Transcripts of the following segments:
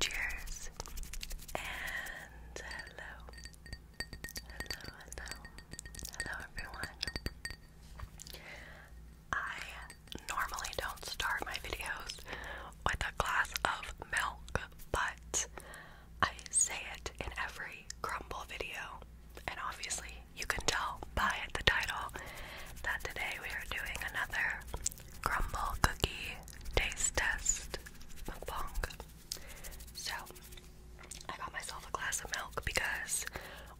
Cheers and hello, hello, hello, hello everyone. I normally don't start my videos with a glass of milk, but I say it in every crumble video, and obviously you can tell by the title that today we are doing another crumble cookie taste test So, I got myself a glass of milk because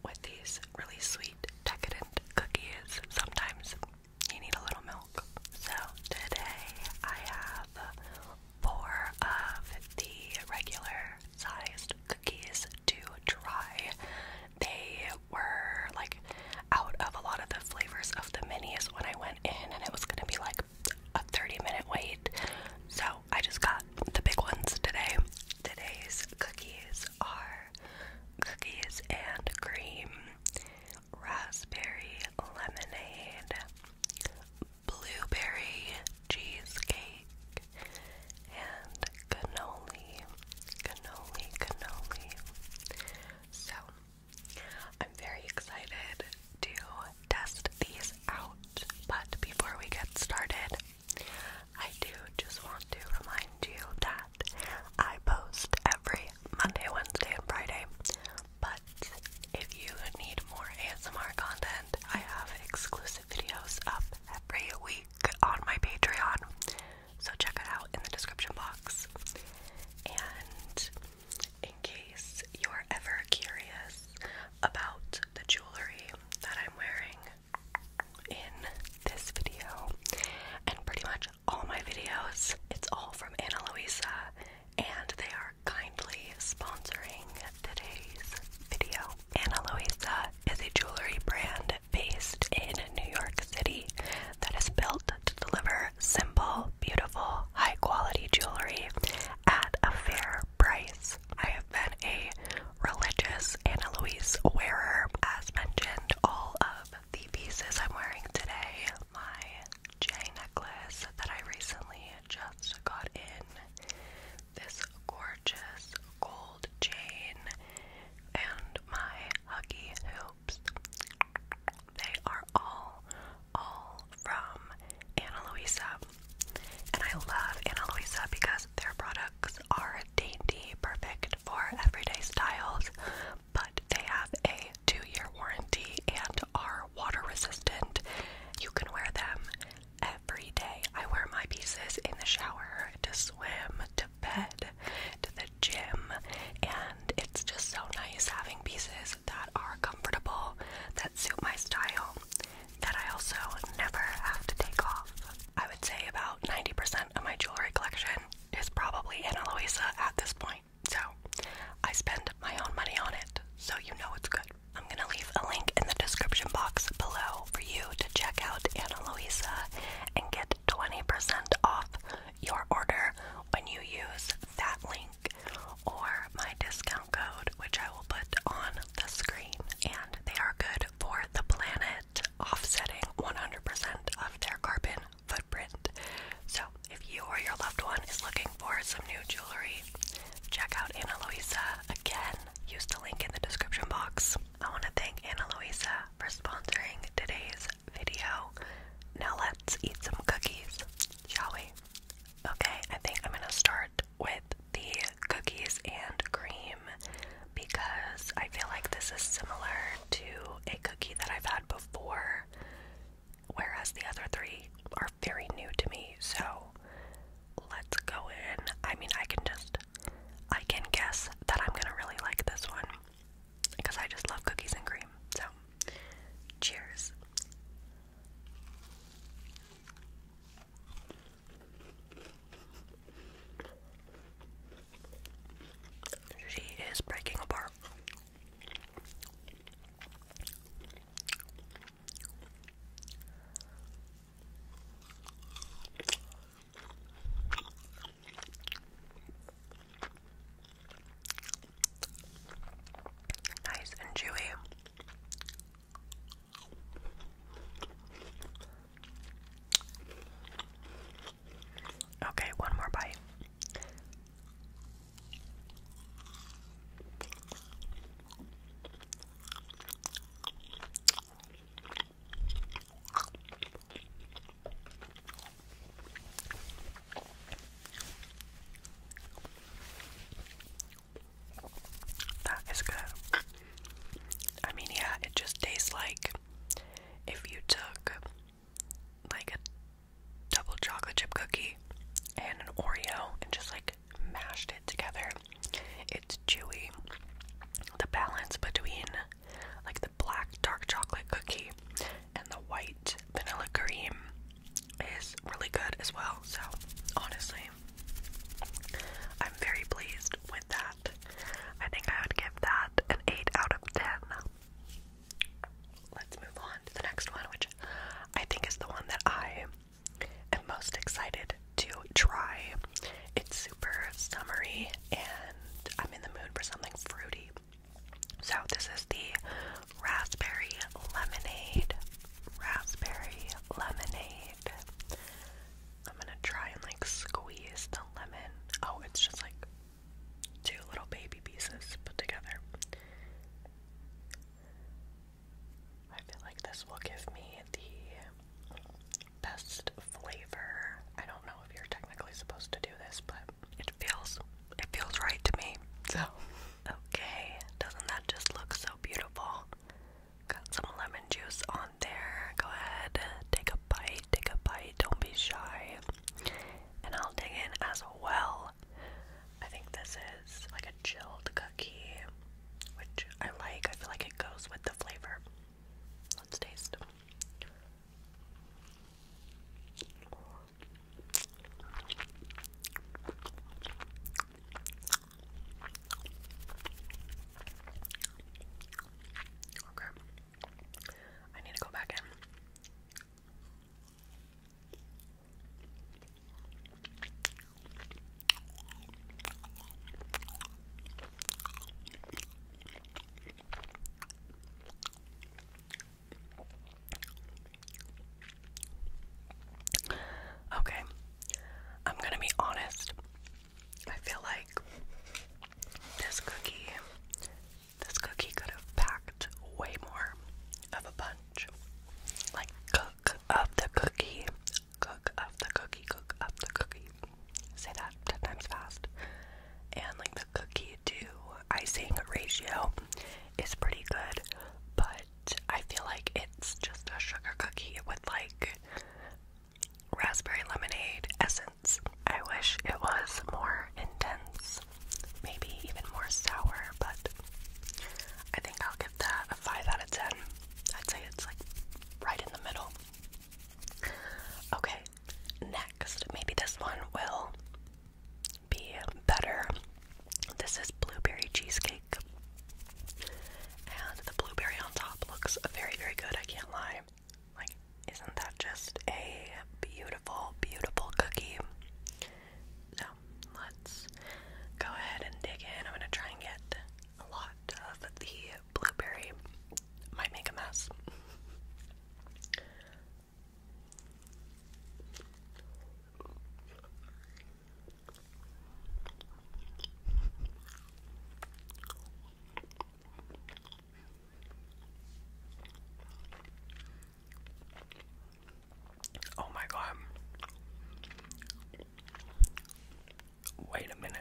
with these really sweet, decadent cookies, sometimes you need a little milk. So, today I have four of the regular sized cookies to try. They were like out of a lot of the flavors of the minis when I went in, and it was gonna be like a 30 minute wait. So I just got the big ones today. Today's cookies are cookies and cream, raspberry lemonade, blueberry cheesecake, and cannoli, cannoli, cannoli. So, I'm very excited to test these out, but before we get started, I do just want to remind you that I post every Monday, Wednesday, and Friday. But if you need more ASMR content, I have exclusive videos up every week on my Patreon. So check it out in the description box. And in case you're ever curious about the jewelry that I'm wearing in this video and pretty much all my videos, it's all from Ana Luisa and they are kindly sponsoring today's video. Ana Luisa is a jewelry brand based in New York City that is built to deliver simple, beautiful, high quality jewelry at a fair price. I have been a religious Ana Luisa wearer, as mentioned, all of the pieces I'm wearing today, my J necklace that I recently just got in, this gorgeous gold gold and my huggy hoops. They are all, all from Ana Luisa. And I love Anna Luisa because their products are dainty, perfect for everyday styles, but they have a two year warranty and are water resistant. You can wear them every day. I wear my pieces in the shower, to swim, to bed, to the gym, and it's just so nice having pieces that are comfortable, that suit my style, that I also never have to take off. I would say about 90% of my jewelry collection is probably in Aloisa at this point, so I spend my own money on it, so you know it's good. I'm gonna leave a link in the description box below for you to check out Ana Luisa and get 20% off your order when you use that link or my discount code, which I will put on the screen. And they are good for the planet, offsetting 100% of their carbon footprint. So, if you or your loved one is looking for some new jewelry, check out Ana Luisa again. Use the link in the description box. I want to thank Ana Luisa for sponsoring today's video. Now let's eat some cookies, shall we? Okay, I think I'm going to start with the cookies and cream because I feel like this is similar to a cookie that I've had before, whereas the other three are very new to me. So let's go in. I mean, I can just I can guess that I'm gonna really like this one because I just love cookies and cream. So, cheers. She is breaking apart. Nice and chewy. Okay, one more bite. That is good. I mean, yeah, it just tastes like if you took like a double chocolate chip cookie and an Oreo and just like mashed it together. It's chewy. The balance between like the black dark chocolate cookie and the white vanilla cream is really good as well. So, honestly, I'm very pleased with that. I think I would give that an 8 out of 10. Let's move on to the next one, which I think is the one that I am most excited to try. It's super summery and I'm in the mood for something fruity. So, this is the raspberry lemonade. Raspberry lemonade. I'm gonna try and like squeeze the lemon. Oh, it's just like two little baby pieces put together. I feel like this will give me the best flavor. I don't know if you're technically supposed to do this, but it feels it feels right to me. So okay, doesn't that just look so beautiful? Got some lemon juice on there. Go ahead, take a bite, take a bite, don't be shy. And I'll dig in as well. I think this is like a chilled cookie, which I like. I feel like it goes with the flavor. Let's taste. Okay. I need to go back in. Okay, I'm gonna be honest. I feel like this cookie, this cookie could have packed way more of a punch. Like, cook of the cookie cook up the cookie, cook up the cookie. Say that 10 times fast. And like the cookie to icing ratio is pretty good, but I feel like it's just a sugar cookie with like raspberry lemonade essence. I wish it was more intense, maybe even more sour, but I think I'll give that a 5 out of 10. I'd say it's like right in the middle. Okay, next, maybe this one will be better. This is blueberry cheesecake. And the blueberry on top looks very, very good, I can't lie. Like, isn't that just a beautiful, beautiful cookie? So, let's go ahead and dig in. I'm gonna try and get a lot of the blueberry might make a mess. Oh, my God, Wait a minute.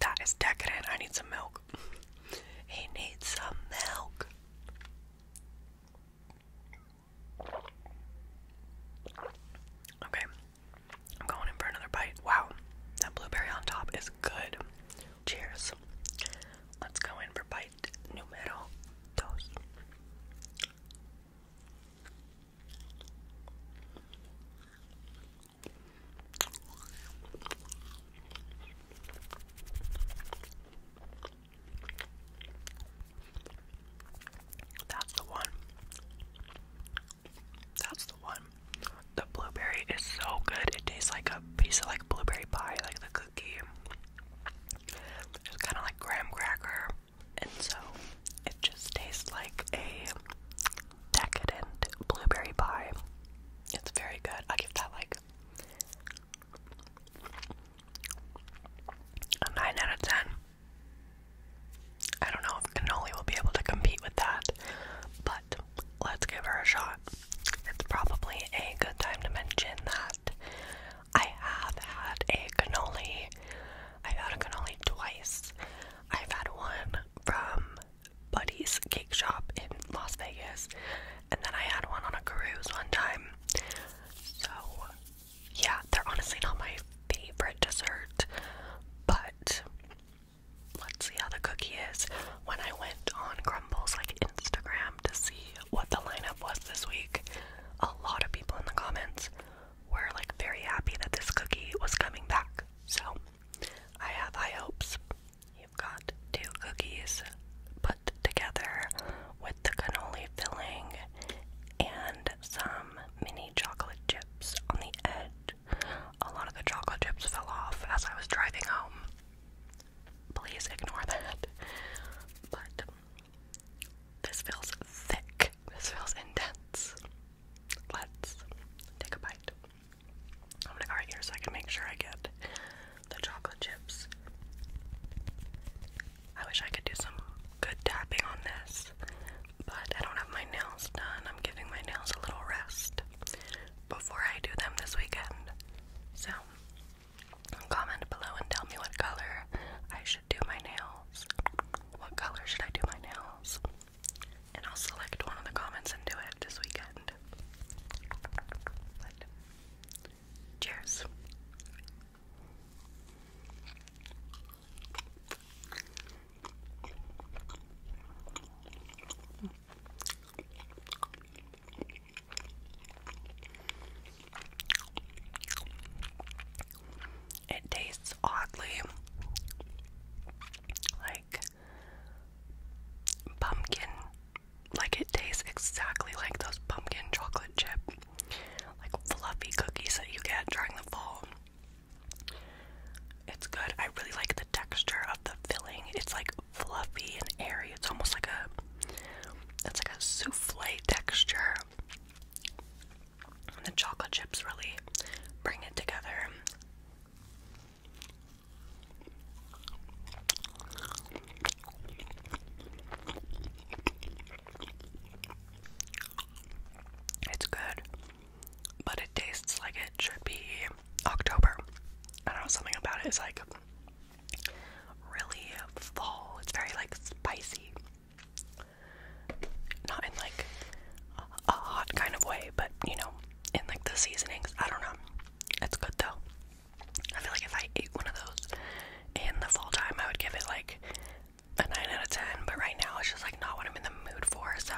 That is decadent. I need some milk. He needs some milk. Okay. I'm going in for another bite. Wow. That blueberry on top is good. Cheers. Let's go in for bite numero dos. That's the one. That's the one. The blueberry is so good. It tastes like a piece of like blueberry pie, like the cookie. It's kind of like graham cracker and so it just tastes like a decadent blueberry pie. It's very good. I give that like a 9 out of 10. I don't know if cannoli will be able to compete with that, but let's give her a shot. It's probably a good time to mention that I have had a cannoli. I've had a cannoli twice I've had one from Buddy's Cake Shop in Las Vegas, and then I had one on a cruise one time. So, yeah, they're honestly not my favorite dessert, but let's see how the cookie is. When I went on Crumble's like Instagram to see what the lineup was this week, a lot of people in the comments we're like very happy that this cookie was coming back. So I have high hopes. You've got two cookies put together with the cannoli filling and some mini chocolate chips on the edge. A lot of the chocolate chips fell off as I was driving home. Please ignore that. But this feels thick. This feels intense. Let's take a bite. I'm gonna here so I can make sure I get the chocolate chips. I wish I could do some good tapping on this, but I don't have my nails done. I'm giving my nails a little rest before I do them this weekend. So, comment below and tell me what color I should do my nails? What color should I do my nails? And I'll select one of the comments and do it this weekend. cheers. It tastes oddly like pumpkin. Like it tastes exactly like those pumpkin chocolate chip, like fluffy cookies that you get during the fall. It's good. I really like the texture of the filling. It's like fluffy and airy. It's almost like a it's like a souffle texture. The chocolate chips really bring it together. It's good, but it tastes like it should be October. I don't know, something about it is like really fall. It's very like spicy. Not in like a hot kind of way, but you know, in like the seasonings. I don't know. It's good though. I feel like if I ate one of those in the fall time, I would give it like a 9 out of 10, but right now it's just like not what I'm in the mood for, so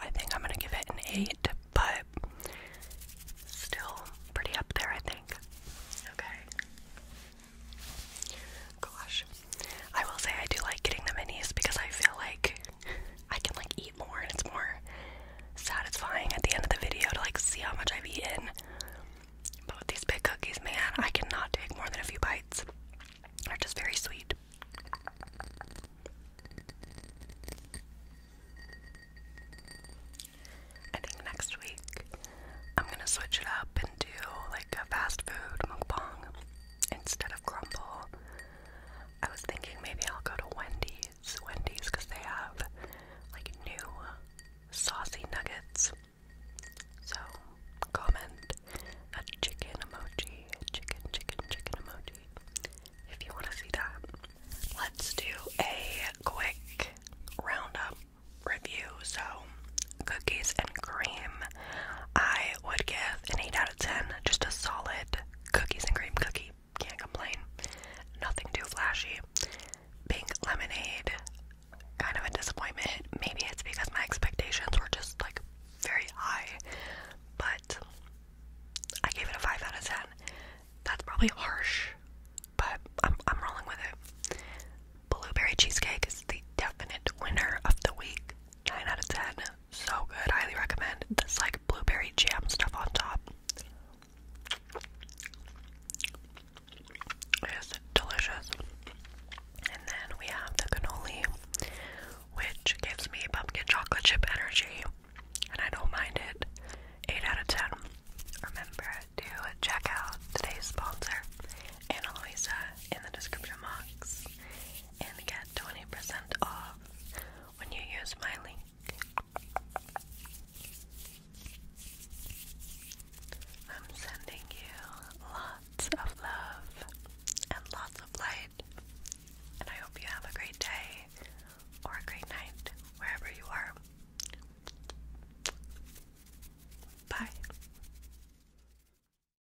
I think I'm gonna give it an 8, but still pretty up there, I think. Okay. Gosh. I will say I do like getting the minis because I feel like I can like eat more and it's more satisfying at the end of the video to like see how much I've eaten. But with these big cookies, man, I cannot take more than a few bites. They're just very sweet. I think next week I'm gonna switch it up and do like a fast food mukbang instead of Grumble. I was thinking maybe I'll go to Wendy's. Wendy's because they have like new saucy nuggets. So comment a chicken emoji, a chicken, chicken, chicken emoji if you want to see that. Let's do a quick roundup review. So, cookies and cream I would give an 8 out of 10, just a solid cookies and cream cookie. Can't complain. Nothing too flashy. Pink lemonade, kind of a disappointment. Maybe it's because my expectations were just like very high, but I gave it a 5 out of 10. That's probably harsh, but I'm, rolling with it. Blueberry cheesecake is the definite winner of the week. 9 out of 10 so good. Highly recommend. This like blueberry jam stuff on top. It is delicious. And then we have the cannoli, which gives me pumpkin chocolate chip energy, and I don't mind it. 8 out of 10. Remember to check out today's sponsor, Ana Luisa, in the description box and get 20% off when you use my link. I'm sending you lots of love and lots of light, and I hope you have a great day or a great night wherever you are. Bye.